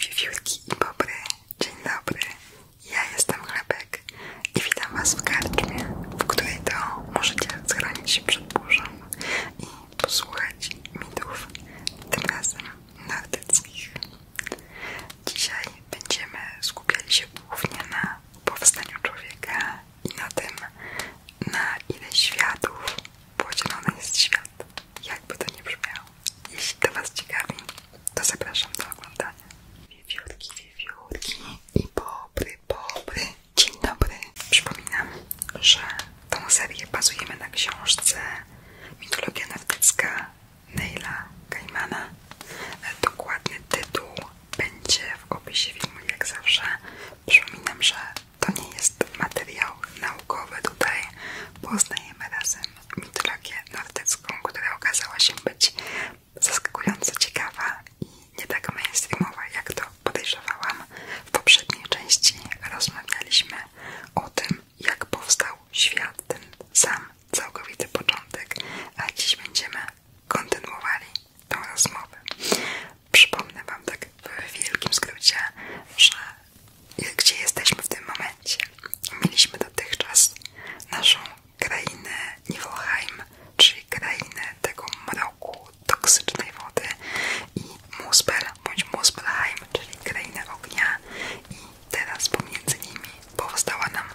Wiewiórki i bobry, dzień dobry, ja jestem Chlebek i witam Was w karczmie, w której to możecie schronić się przed burzą i posłuchać mitów, tym razem nartyckich. Dzisiaj będziemy skupiali się głównie na powstaniu człowieka i na tym, na ile światów podzielony jest świat. Jakby to nie brzmiało. Jeśli to Was ciekawi, to zapraszam do oglądania. Wiewiórki, wiewiórki i bobry, bobry. Dzień dobry. Przypominam, że tą serię bazujemy na książce Mitologia Nordycka Neyla Gaimana. Dokładny tytuł będzie w opisie filmu, jak zawsze. Przypominam, że to nie jest materiał naukowy. Tutaj poznajemy razem mitologię nordycką, która okazała się być zaskakująco ciekawa i nie tak mainstreamowa, jak to podejrzewałam. W poprzedniej części rozmawialiśmy o tym, jak powstał świat, ten sam całkowity początek, a dziś będziemy kontynuowali tą rozmowę. Przypomnę Wam tak w wielkim skrócie, że gdzie jesteśmy w tym momencie. Mieliśmy dotychczas naszą krainę Niflheim, czyli krainę tego mroku, toksycznej wody i Muspel bądź Muspelheim, czyli krainę ognia i Teraz pomiędzy nimi powstała nam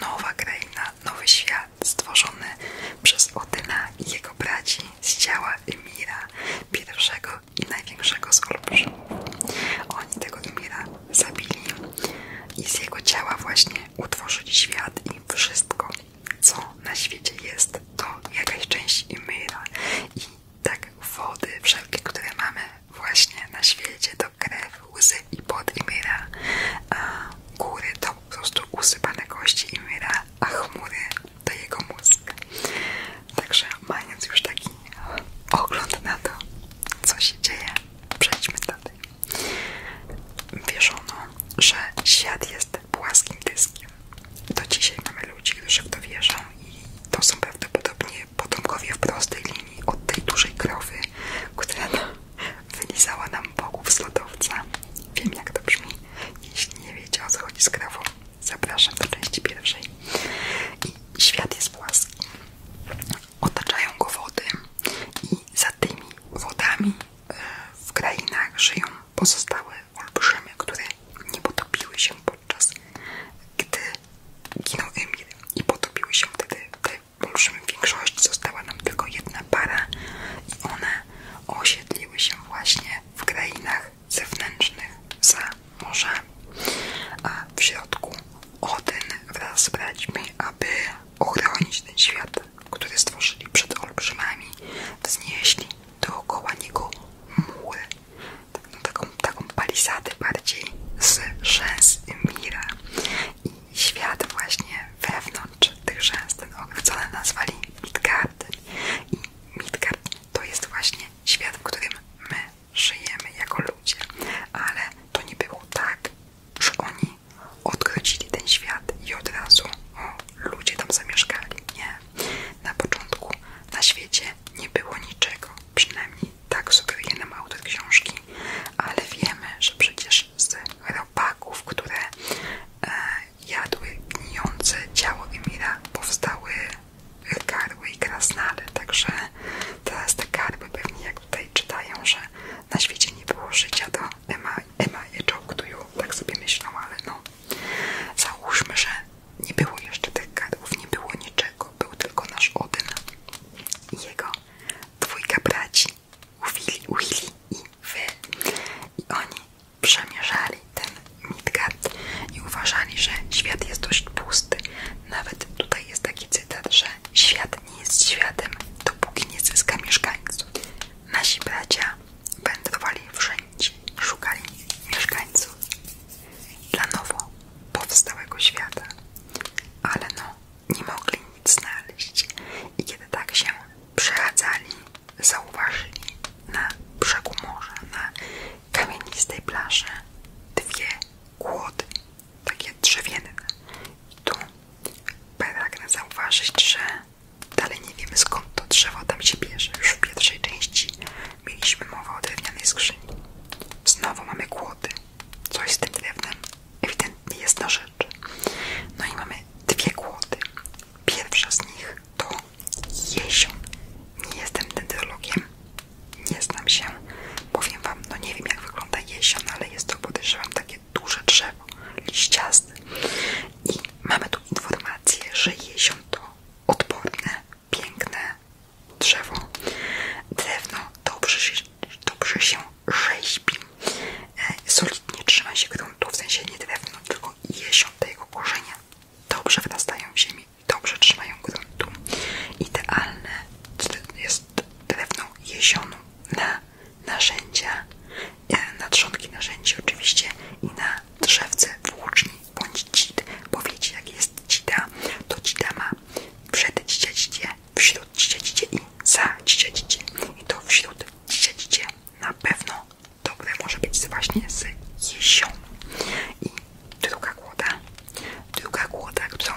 nowa kraina, nowy świat stworzony przez Odyna i jego braci z ciała Ymira, pierwszego i największego z olbrzymów. Oni tego Ymira zabili i z jego ciała właśnie utworzyli świat i wszystko, co na świecie jest, to jakaś część Ymira i tak wody wszelkie, które mamy właśnie na świecie, to krew, łzy i pot i myra, a góry to po prostu usypane kości i a chmury to jego mózg. Także mając już taki ogląd na to, co się dzieje, przejdźmy dalej. Wierzono, że świat jest płaskim dyskiem. Do dzisiaj mamy ludzi, którzy w to wierzą i to są prawdopodobnie potomkowie w prostej linii od tej dużej krowy, która wylizała nam bogów z lodowca. Wiem jak to brzmi. Jeśli nie wiecie o co chodzi z krową, zapraszam do części pierwszej. I świat jest płaski. Otaczają go wody i za tymi wodami e, w krainach żyją pozostałe olbrzymie, które nie potopiły się podczas gdy ginął Emir i potopiły się wtedy te Poruszmy w większości, została nam tylko jedna para i one osiedliły się właśnie w krainach zewnętrznych za morzami. A w środku Odyn wraz z braćmi, aby ochronić ten świat, który stworzyli przed olbrzymami, wznieśli dookoła niego mury. Tak, no, taką, taką bardziej z rzęs Mira i świat właśnie wewnątrz tych rzęs, ten ogród, co nazwali Midgarden i Midgard to jest właśnie świat, w którym my żyjemy jako ludzie, ale to nie było tak, że oni odgrodzili ten świat i od razu o, ludzie tam zamieszkali, nie, na początku na świecie nie było niczego, Przynajmniej tak sugeruje nam autor książki, ale wiemy, że przecież z robaków, które e, jadły gnijące ciało Emira, powstały karły i krasnale. Także teraz te karły pewnie, jak tutaj czytają, że na świecie nie było życia, to Ema, Ema je czołgtują, tak sobie myślą, ale no załóżmy, że nie było jeszcze tych karłów, nie było niczego, był tylko nasz Odyn i jego dwójka braci, Willy, Willy i Wy. I oni przemierzali ten Midgard i uważali, że świat jest dość pusty. Nawet tutaj jest taki cytat, że świat nie jest światem, dopóki nie zyska mieszkańców. Nasi bracia będą wędrowali wszędzie, szukali mieszkańców dla nowo powstałego świata ale no, nie mogli nic znaleźć. I kiedy tak się przechadzali, zauważyli na brzegu morza, na kamienistej plaży dwie kłody, takie drzewienne. I tu pragnę zauważyć, że dalej nie wiemy skąd to drzewo tam się bierze. Już w pierwszej części mieliśmy mowa o drewnianej skrzyni. Znowu mamy kłody. Coś z tym drewnem ewidentnie jest na rzecz. No i mamy dwie głody. Pierwsza z nich to jesion. Nie jestem dendrologiem, nie znam się. Powiem wam, no nie wiem jak wygląda jesion, ale jest to podejrzewam takie duże drzewo, liściaste. I mamy tu informację, że jesion to odporne, piękne, drzewo, drewno dobrze, dobrze się rzeźbi, e, solidnie trzyma się gruntu, w sensie nie drewno, tylko jesiąte jego korzenia dobrze wrastają w ziemi, dobrze trzymają gruntu, idealne jest drewno jesionu na narzędzia, e, na trzonki narzędzi oczywiście i na drzewce włóczni bądź cid, bo wiecie jak jest cida, to cida ma przed dziecię, wśród dziecię i za dziecię. I to wśród dziecię na pewno dobre może być właśnie z jesią. I druga głoda, druga głoda, którą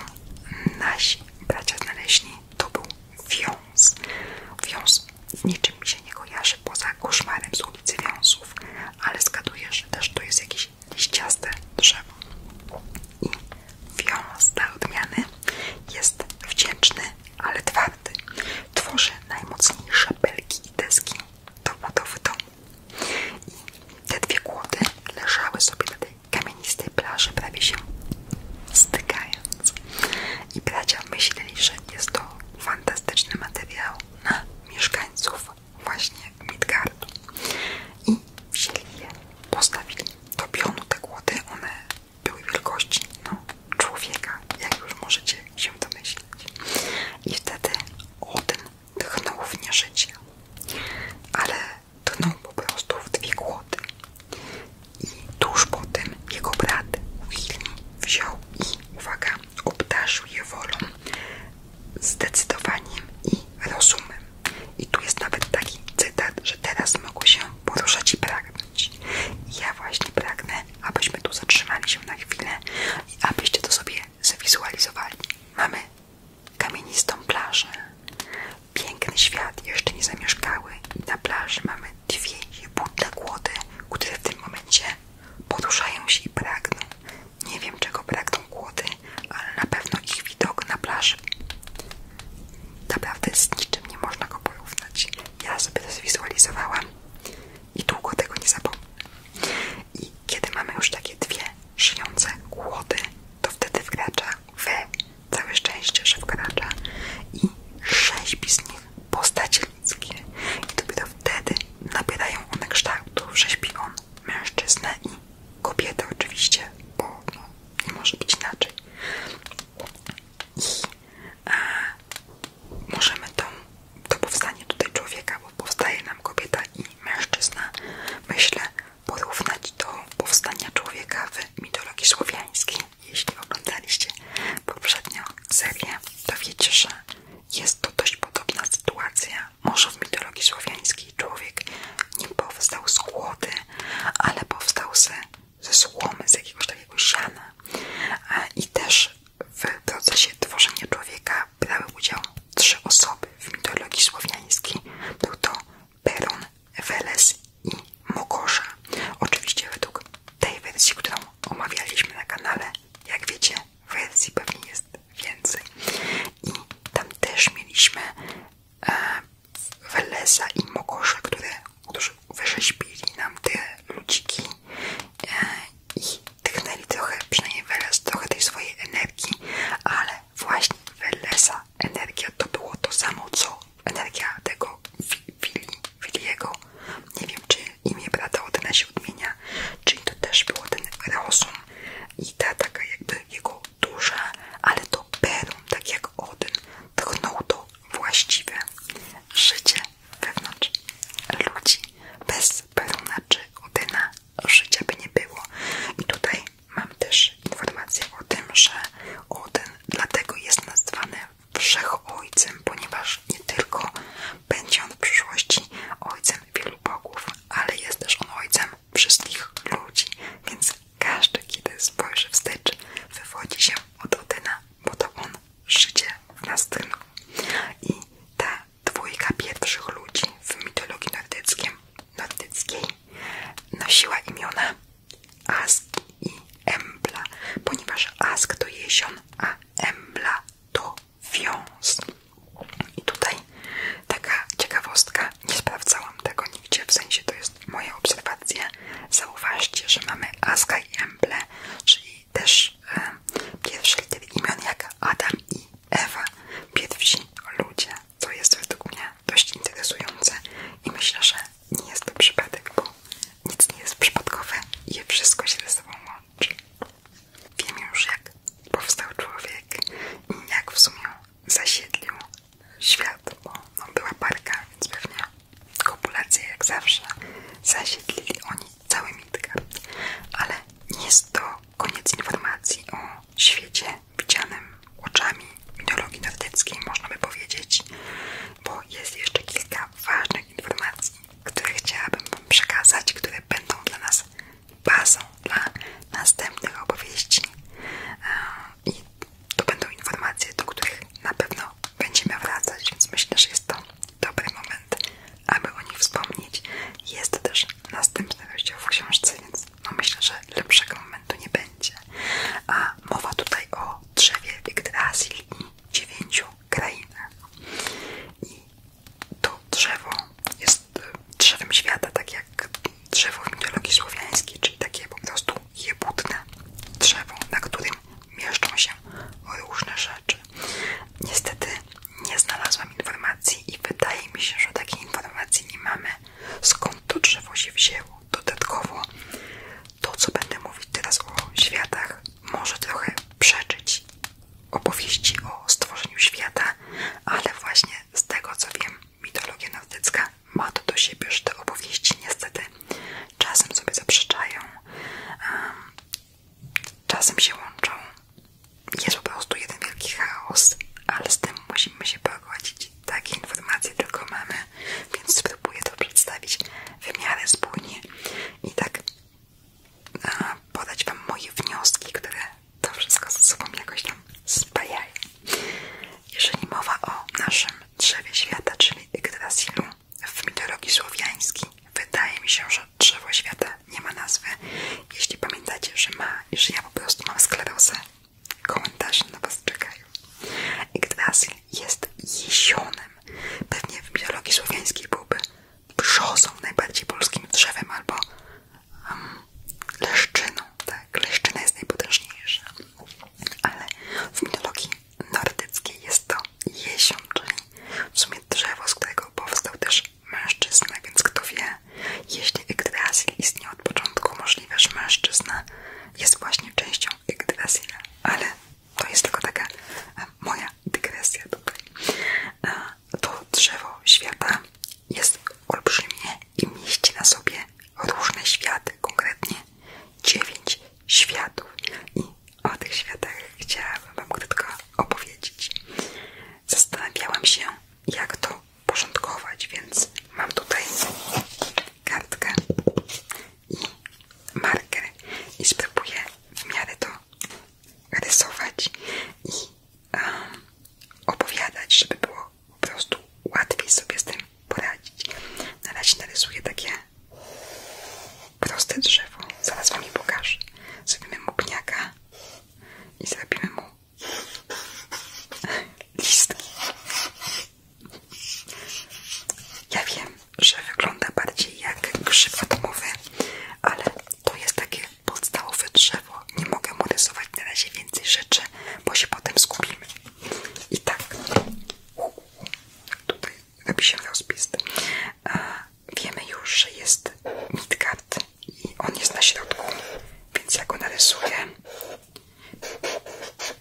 nasi bracia znaleźli, to był wiąz. Wiąz z niczym się nie kojarzy poza koszmarem z ulicy Wiązów, ale zgaduję, że też to jest jakiś liściaste drzewo. I wiolons dla odmiany jest wdzięczny, ale twardy. Tworzy najmocniejsze belki i deski do budowy domu. I te dwie kłody leżały sobie na tej kamienistej plaży, prawie się stykając. I bracia myśleli, że jest to fantastyczny materiał na mieszkańców właśnie Midgardu i wzięli je, postawili do pionu te głody, one były wielkości no, człowieka, jak już możecie się domyśleć i wtedy Odyn tchnął w nie życie, ale tchnął po prostu w dwie głody i tuż po tym jego brat Willi wziął i, uwaga, obdarzył je wolą, zdecydowaniem i rozumem. I tu jest nawet taki cytat, że teraz mogą się poruszać i pragnąć. ja właśnie pragnę, abyśmy tu zatrzymali się na chwilę i abyście to sobie zwizualizowali. Mamy kamienistą plażę, piękny świat jeszcze nie zamieszkały. Na plaży mamy dwie jebutne głody, które w tym momencie poruszają się i pragną. Nie wiem czego pragną są kłody, ale na pewno ich widok na plaży. Naprawdę z niczym nie można go porównać. Ja sobie to zwizualizowałam i długo tego nie zapomnę. I kiedy mamy już takie dwie szyjące kłody, to wtedy wkracza w całe szczęście, że wkracza i rzeźbi z nich postacie ludzkie. I dopiero wtedy nabierają one kształtów, rzeźbi on mężczyznę i kobiety oczywiście, bo no, nie może być inaczej. I e, możemy tą, to powstanie tutaj człowieka, bo powstaje nam kobieta i mężczyzna, myślę, porównać do powstania człowieka w mitologii słowiańskiej. Jeśli oglądaliście poprzednią serię, to wiecie, że jest to dość podobna sytuacja. Może w mitologii słowiańskiej człowiek nie powstał z głodu, ale powstał ze, ze słomy, z jakiegoś takiego siana. I też w procesie tworzenia człowieka brały udział trzy osoby w mitologii słowiańskiej. Był to Peron, Weles i Mogorza. Oczywiście według tej wersji, którą omawialiśmy na kanale, jak wiecie, wersji pewnie jest więcej i tam też mieliśmy e, Welesa i Mokosze, które, którzy wyrzeźbili nam te ludziki e, i tchnęli trochę, przynajmniej Weles, trochę tej swojej energii, ale właśnie Welesa energia to było to samo, co energia tego Willi, Williego, nie wiem czy imię brata Odyna się odmienia, czyli to też było ten rozum i ta taka jakby jego duże, ale to Perun, tak jak Odyn, tchnął to właściwie życie wewnątrz ludzi. Bez Peruna czy Odyna życia by nie było. I tutaj mam też informację o tym, że Oden dlatego jest nazwany Wszechojcem, ponieważ nie tylko będzie on w przyszłości ojcem wielu bogów, ale jest też on ojcem wszystkich ludzi, więc każdy, kiedy spojrzy wstecz, wywodzi się od Odyna, bo to on żyje w nas I ta dwójka pierwszych ludzi w mitologii nordyckiej nosiła imiona Ask i Embla, ponieważ Ask to jesion, a Embla to wiąz. I tutaj taka ciekawostka, nie sprawdzałam tego nigdzie, w sensie to jest moja obserwacja, Zauważcie, że mamy Aska i Emble, czyli też e, imion jak Adam i Ewa, pierwsi ludzie, co jest według mnie dość interesujące i myślę, że nie jest to przypadek, bo nic nie jest przypadkowe i wszystko się ze sobą łączy. Wiem już, jak powstał człowiek i jak w sumie zasiedlił świat, bo no, była parka, więc pewnie kopulację jak zawsze zasiedlili oni cały Midgard. Ale nie jest to koniec informacji o świecie widzianym oczami mitologii nordyckiej, można by powiedzieć, bo jest jeszcze kilka ważnych informacji, które chciałabym Wam przekazać, które będą dla nas bazą dla następnych opowieści e, i to będą informacje, do których na pewno będziemy wracać, więc myślę, że jest to dobry moment, aby o nich wspomnieć. Jest też następny rozdział w książce, więc no myślę, że lepszego momentu nie będzie. A mowa tutaj o drzewie Yggdrasil i dziewięciu krainach. I to drzewo jest e, drzewem świata, tak jak drzewo w mitologii słowiańskiej, czyli takie po prostu jebutne drzewo, na którym mieszczą się różne rzeczy. Niestety nie znalazłam informacji i wydaje mi się, że takiej informacji nie mamy, skąd to drzewo się wzięło. Dodatkowo to, co będę mówić teraz o światach, może trochę przeczyć opowieści o stworzeniu świata, ale właśnie z tego co wiem, mitologia nordycka ma to do siebie, że te opowieści niestety czasem sobie zaprzeczają, czasem się łączą. Jest po prostu jeden wielki chaos, ale z tym musimy się pogodzić. Takie informacje tylko mamy, więc spróbuję to przedstawić w miarę spójnie i tak e, podać Wam moje wnioski, które to wszystko ze sobą jakoś tam spajają. Jeżeli mowa o naszym drzewie świata, czyli Yggdrasilu w mitologii słowiańskiej, wydaje mi się, że drzewo świata nie ma nazwy. Jeśli pamiętacie, że ma i że ja po prostu mam sklerozę, komentarze na was czekają. Yggdrasil jest jesionem. Pewnie w mitologii słowiańskiej byłby brzozą, najbardziej polskim drzewem albo leszczyną, tak, leszczyna jest najpotężniejsza, ale w mitologii nordyckiej jest to jesion, czyli w sumie drzewo, z którego powstał też mężczyzna, więc kto wie, jeśli Yggdrasil istnieje od początku, możliwe, że mężczyzna jest właśnie częścią Yggdrasila, ale to jest tylko taka moja dygresja tutaj. E, to drzewo świata jest olbrzymie i mieści na sobie różne światy, konkretnie dziewięć światów. I o tych światach chciałabym Wam krótko opowiedzieć. Zastanawiałam się, jak to porządkować, więc mam tutaj kartkę i marker i spróbuję w miarę to rysować i opowiadać, żeby było po prostu łatwiej sobie z tym poradzić. Na razie narysuję takie proste drzewo. Zaraz wam je pokażę. Zrobimy mu pniaka i zrobimy mu listki. Ja wiem, że wygląda bardziej jak grzyb atomowy, ale to jest takie podstawowe drzewo. Nie mogę mu rysować na razie więcej rzeczy, bo się potem skupimy. I tak, tutaj robi się rozpis. E, wiemy już, że jest Midgard i on jest na środku, więc ja go narysuję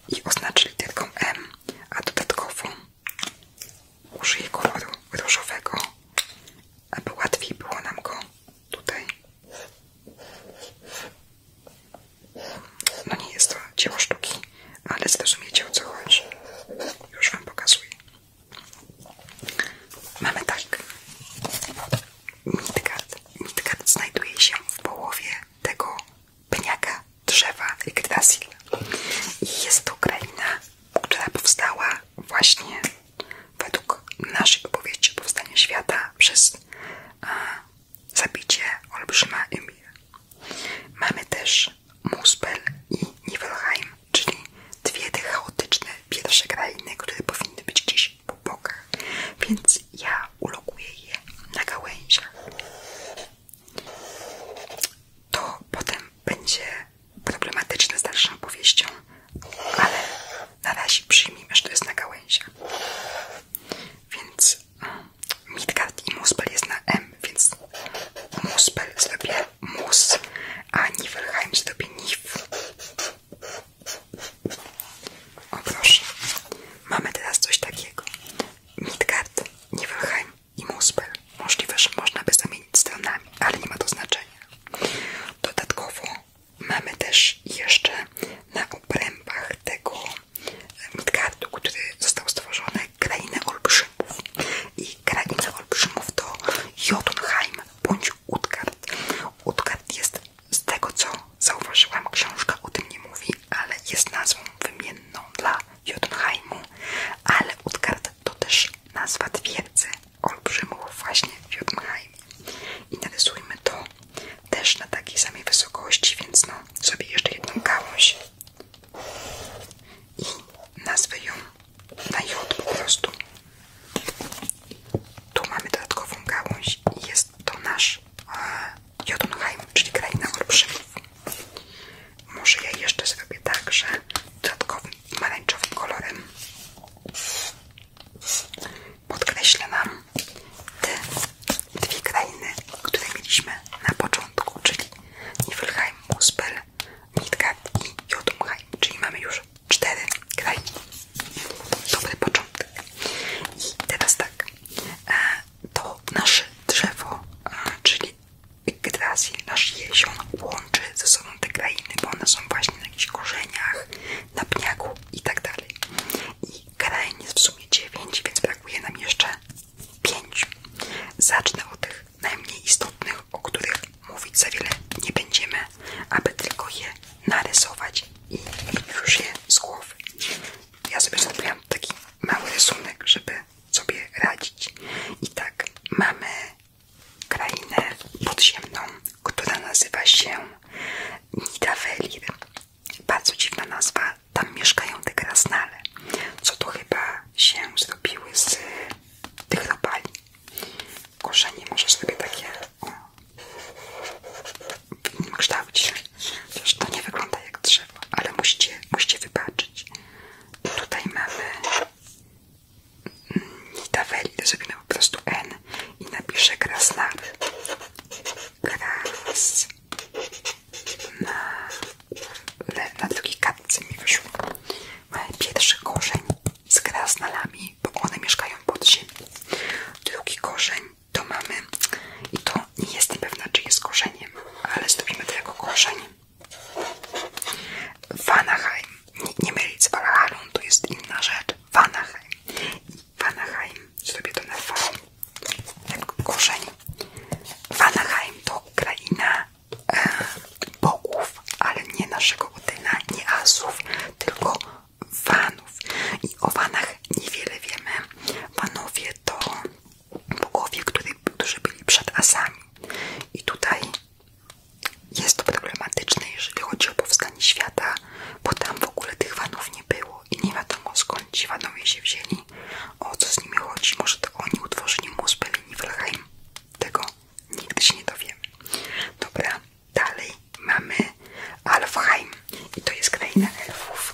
i oznaczę literką M, a dodatkowo użyję koloru różowego, aby łatwiej było nam go tutaj no nie jest to dzieło sztuki, ale zrozumiecie o co chodzi. Już wam pokazuję. Mamy tak. Midgard. Midgard znajduje się w połowie tego pniaka drzewa Yggdrasil. I jest to kraina, która powstała właśnie według naszej opowieści o powstaniu świata przez e, zabicie olbrzyma Ymir. Mamy też Muspel i Niflheim, czyli dwie te chaotyczne pierwsze krainy, które powinny być gdzieś po bokach, więc ja ulokuję je na gałęziach. To potem będzie problematyczne z dalszą opowieścią, ale na razie przyjmijmy, że to jest na gałęziach. Więc mm, Midgard i Muspel jest na M, więc Muspel zrobię Mus, a Nifelheim zrobię Nif. O proszę, mamy teraz coś takiego. Midgard, Nifelheim i Muspel. Możliwe, że można by zamienić stronami, ale nie ma to znaczenia. Dodatkowo mamy też jeszcze na obrębach tego Midgardu, który został stworzony, krainę olbrzymów. I krainę olbrzymów to Jotunheim bądź Utgard. Utgard jest, z tego co zauważyłam, książka o tym nie mówi, ale jest nazwą wymienną dla Jotunheimu, ale Utgard to też nazwa twierdzy olbrzymów właśnie w Jotunheim i narysujmy to też na takiej samej wysokości, więc no sobie jeszcze jedną gałąź i nazwę ją na J po prostu. Tu mamy dodatkową gałąź i jest to nasz e, czyli kraina olbrzymów. Może ja jeszcze sobie także że dodatkowym pomarańczowym kolorem Podkreślę nam te dwie krainy, które mieliśmy na początku, czyli Niflheim, Muspel, Midgard i Jotunheim, czyli mamy już cztery krainy. Dobry początek. I teraz tak, e, to nasze drzewo, e, czyli Yggdrasil, nasz jezior łączy ze sobą te krainy, bo one są właśnie na jakichś korzeniach, na pniaku i tak dalej. I krain jest w sumie dziewięć, więc brakuje nam jeszcze 5. Zacznę od tych najmniej istotnych, o których mówić za wiele nie będziemy, aby tylko je narysować i już je z głowy. Ja sobie zrobiłam taki mały rysunek, żeby sobie radzić. I tak mamy krainę podziemną, która nazywa się Nidavellir. Bardzo dziwna nazwa, tam mieszkają te krasnale, co to chyba się zrobiły z tych robali. Korzenie może sobie takie o, w innym kształcie. Przecież to nie wygląda jak drzewo, ale musicie, musicie wybaczyć. Tutaj mamy tabeli, to zrobimy po prostu N i napiszę krasnal. Kras na, le, na drugiej kartce mi wyszło. Mamy pierwszy korzeń z krasnalami, bo one mieszkają pod ziemią. Drugi korzeń to mamy, i to nie jestem pewna, czy jest korzeniem, ale zrobimy to jako korzeń. Vanaheim nie mylisz, z Valalarą, to jest inna rzecz, Vanaheim. Vanaheim, zrobię to na V, jak korzeń. Vanaheim to kraina e, bogów, ale nie naszego Odyna, nie Asów, tylko Vanów. I o Vanach niewiele wiemy. Vanowie to bogowie, którzy byli przed Asami. I tutaj jest to problematyczne, jeżeli chodzi o powstanie świata, bo tam w ogóle tych Wanów nie było i nie wiadomo skąd ci Wanowie się wzięli, o co z nimi chodzi. Może to oni utworzyli mózg i Niflheim. Tego nigdy się nie dowiemy. Dobra, dalej mamy Alfheim i to jest kraina elfów.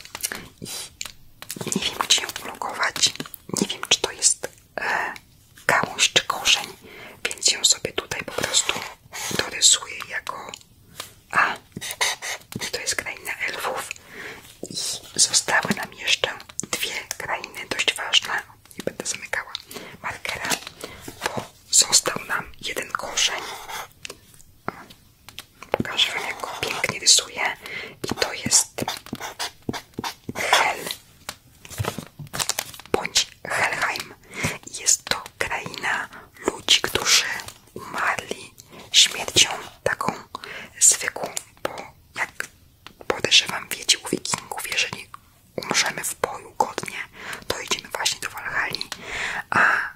I nie wiem, gdzie ją ulokować. Nie wiem, czy to jest e, gałąź czy korzeń, więc ją sobie tutaj po prostu dorysuję jako A. To jest kraina Elwów I zostały nam jeszcze dwie krainy dość ważne. Nie będę zamykała markera, bo został nam jeden korzeń. Pokażę wam jak go pięknie rysuję. I to jest hel bądź Helheim. Jest to kraina ludzi, którzy umarli śmiercią taką zwykłą, bo jak podejrzewam wiecie u wikingów, jeżeli umrzemy w boju godnie, to idziemy właśnie do Walhali, a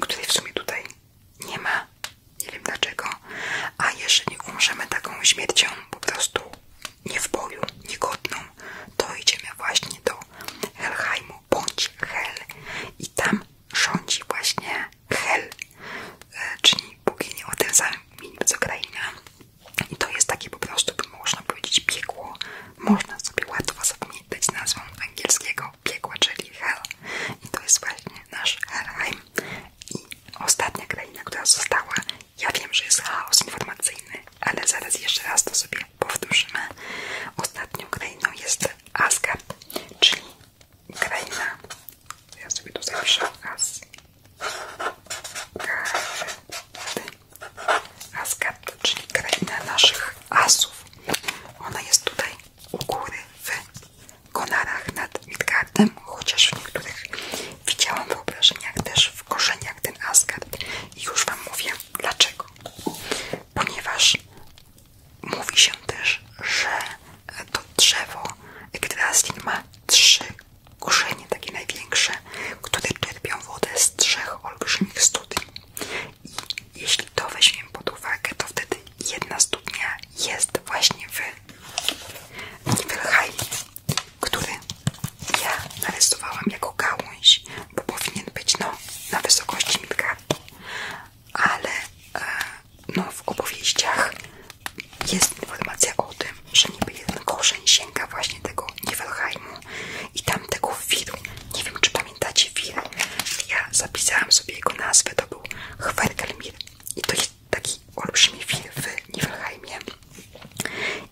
której w sumie tutaj nie ma, nie wiem dlaczego, a jeżeli umrzemy taką śmiercią po prostu nie w boju, niegodną, to idziemy właśnie do Helheimu bądź Hel i tam rządzi właśnie Hel, e, czyli bogini o tym samym imieniu co kraina i to jest takie po prostu, by można powiedzieć, biegło, Można sobie łatwo zapamiętać nazwą angielskiego piekła, czyli Hel i to jest właśnie nasz Helheim i ostatnia kraina, która została ja wiem, że jest chaos informacyjny, ale zaraz jeszcze raz to sobie powtórzymy. Ostatnią krainą jest Asgard, czyli kraina. Ja sobie tu zapiszę Asgard. Asgard, czyli kraina naszych asów. Ona jest tutaj u góry w Konarach nad Midgardem, chociaż w niektórych widziałam wyobrażeniach też w korzeniach ten Asgard. I już Wam mówię dlaczego. Ponieważ mówi się też, że to drzewo Yggdrasil ma trzy korzenie, takie największe, które czerpią wodę z trzech olbrzymich studni. I jeśli to weźmiemy pod uwagę, to wtedy jedna studnia jest właśnie w Niflheimie które ja narysowałam jako gałąź, bo powinien być no, na wysokości mitkarki, ale e, no, w opowieściach jest informacja o tym, że niby jeden korzeń sięga właśnie tego Niflheimu i tamtego wiru. Nie wiem, czy pamiętacie wir. Ja zapisałam sobie jego nazwę, to był Hvergelmir i to jest taki olbrzymi wir w Niflheimie.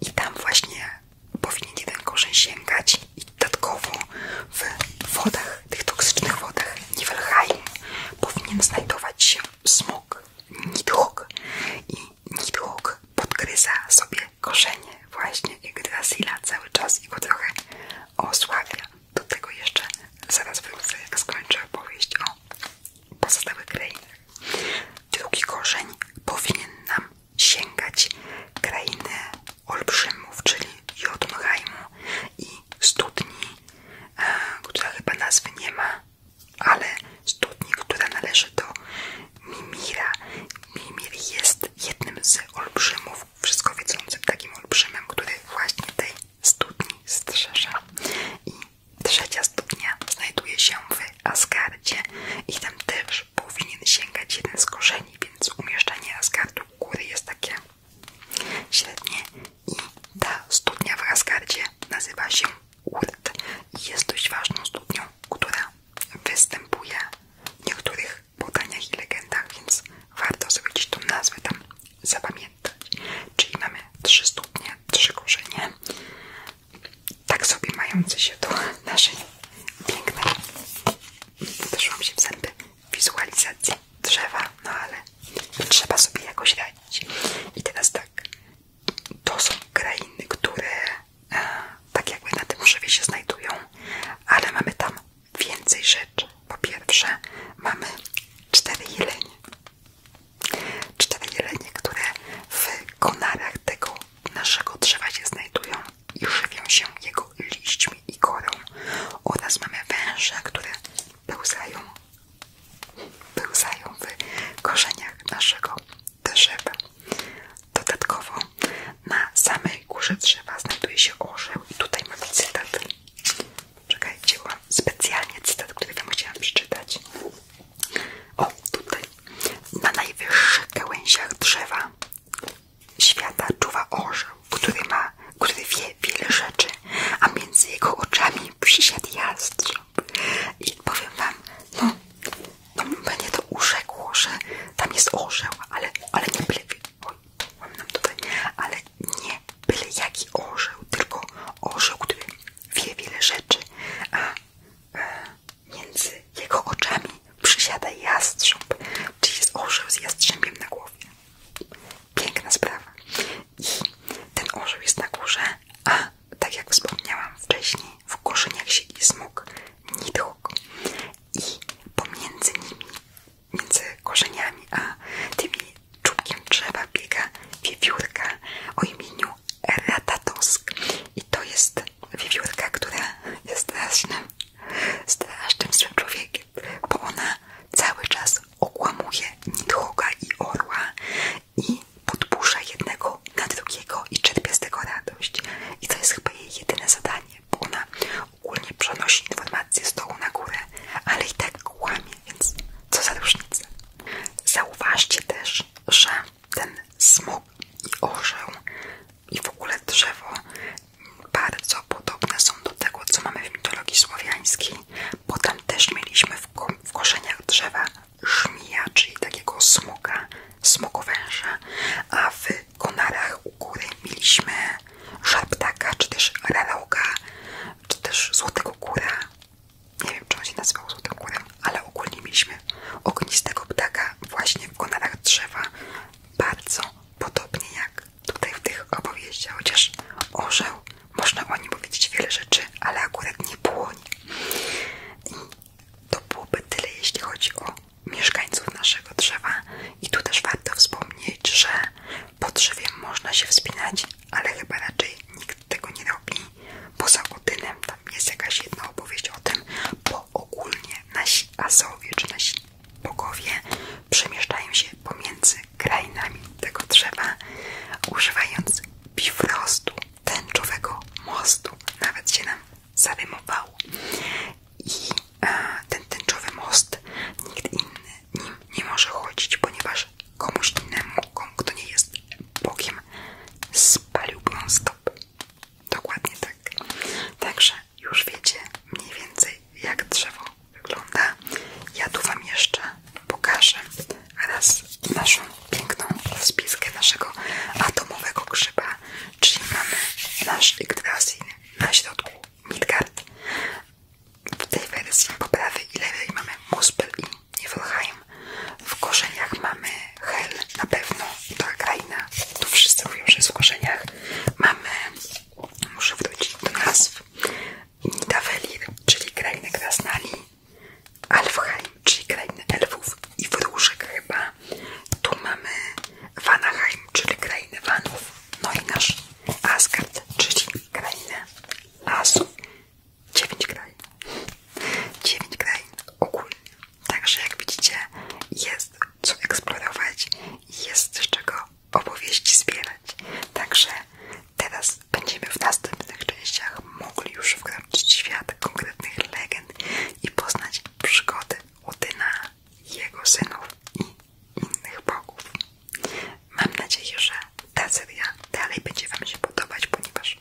I tam właśnie powinien jeden korzeń sięgać i dodatkowo w wodach, tych toksycznych wodach Niflheim powinien znajdować się smok, nidhogg i nidhogg podgryza sobie korzenie właśnie Yggdrasila cały czas i go trochę osłabia. Do tego jeszcze zaraz wrócę, jak skończę opowieść o pozostałych krainach. Drugi korzeń powinien nam sięgać krainy olbrzymów, czyli Jotunheimu i studni, e, która chyba nazwy nie ma, ale studni, która należy do Mimira. Mimir jest jednym z olbrzymów, wszystko wiedzącym takim olbrzymem, który właśnie tej studni strzeże. I trzecia studnia znajduje się w asgardzie i tam też powinien sięgać jeden z korzeni, więc umieszczanie asgardu u góry jest takie średnie i ta studnia w asgardzie nazywa się Urt i jest dość ważną studnią, która występuje w niektórych podaniach i legendach, więc warto sobie gdzieś tą nazwę tam zapamiętać. Czyli mamy trzy studnie, trzy korzenie tak sobie mające się do naszej pięknej, weszłam się w zęby, wizualizacji drzewa, no ale trzeba sobie jakoś radzić. I teraz tak, to są krainy, które e, tak jakby na tym drzewie się znajdują, ale mamy tam więcej rzeczy. Po pierwsze, mamy cztery jelenie. Cztery jelenie, które w konarach tego naszego drzewa się znajdują i żywią się jego liśćmi i korą oraz mamy węże, które pełzają, pełzają w korzeniach naszego drzewa. Dodatkowo na samej górze drzewa znajduje się orzeł i tutaj mamy cytat. Czekajcie, mam specjalnie cytat, który wam chciałam przeczytać. O, tutaj. Na najwyższych gałęziach drzewa świata czuwa orzeł, który ma, który wie wiele rzeczy, a między jego oczami przysiadł jastrząb. I powiem wam, no, no mnie to urzekło, że tam jest orzeł, ale, ale nie byle, oj, mam nam tutaj, ale nie byle jaki orzeł, tylko orzeł, który wie wiele rzeczy, a e, Między jego oczami przysiada jastrząb, czyli jest orzeł z jastrzębiem na głowie. Piękna sprawa. I ten orzeł jest na górze, a tak jak wspomniałam wcześniej, w korzeniach siedzi smug, nidhogg. I pomiędzy nimi, między korzeniami a tymi czubkiem drzewa biega wiewiórka o imieniu Ratatusk i to jest wiewiórka, która jest strasznym, strasznym złym człowiekiem, bo ona cały czas okłamuje nidhoga i orła i podburza jednego na drugiego i czerpie z tego radość. I to jest chyba jej jedyne zadanie, bo ona ogólnie przenosi informacje z dołu na górę, ale i tak kłamie, więc co za różnica. Zauważcie też, że ten smok i orzeł i w ogóle drzewo bardzo podobne są do tego, co mamy w mitologii słowiańskiej, Potem też mieliśmy w, ko korzeniach drzewa żmija, czyli takiego smoka, smokowęża, a w konarach u góry mieliśmy żarptaka, czy też relauga, czy też złotego góra, nie wiem, czy on się nazywał złotogórem, ale ogólnie mieliśmy ognistego ptaka właśnie w konarach drzewa. Bardzo podobnie jak tutaj w tych opowieściach, chociaż orzeł, można o nim powiedzieć wiele rzeczy, ale akurat nie płonie. I to byłoby tyle, jeśli chodzi o mieszkańców naszego drzewa. I tu też warto wspomnieć, że po drzewie można się wspinać, ale chyba raczej nikt tego nie robi. Poza Odynem, jest jakaś jedna opowieść o tym, bo ogólnie nasi azowie czy nasi bogowie przemieszczają się pomiędzy krainami tego drzewa, używając bifrostu, tęczowego mostu. Nawet się nam zarymowało. I a, e, ten tęczowy most nikt inny nim nie może chodzić, ponieważ komuś innemu, komu, kto nie jest bogiem, spaliłby on Dokładnie tak. Także już wiecie mniej więcej jak drzewo wygląda. Ja tu Wam jeszcze pokażę raz naszą piękną spiskę naszego atomowego grzyba, czyli mamy nasz Yggdrasil na środku Midgard. W tej wersji poprawy i lewej mamy Muspel i Niflheim. W korzeniach mamy Hel, na pewno, ta kraina, tu wszyscy mówią, że jest w korzeniach. Mamy, muszę wrócić do nazw, Nidavellir, czyli krainę Krasnali, Alfheim, czyli krainę elfów i wróżek chyba. Tu mamy Vanaheim, czyli krainę Vanów, no i nasz Asgard, czyli krainę Asów. 9 krajów. 9 krajów ogólnie. Także jak widzicie, jest co eksplorować, jest z czego opowieści zbierać. Także teraz będziemy w następnych częściach mogli już wkroczyć w świat konkretnych legend i poznać przygody Odyna, jego synów i innych bogów. Mam nadzieję, że ta seria dalej będzie Wam się podobać, ponieważ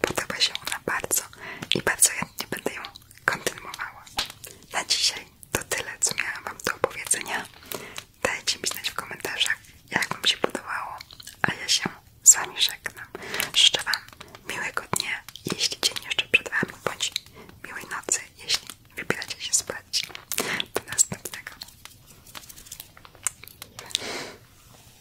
Podoba się ona bardzo i bardzo chętnie będę ją kontynuowała. Na dzisiaj to tyle, co miałam Wam do opowiedzenia. Dajcie mi znać w komentarzach, jak Wam się podobało, a ja się z Wami żegnam. Życzę Wam miłego dnia, jeśli dzień jeszcze przed Wami, bądź miłej nocy, jeśli wybieracie się spać. Do następnego.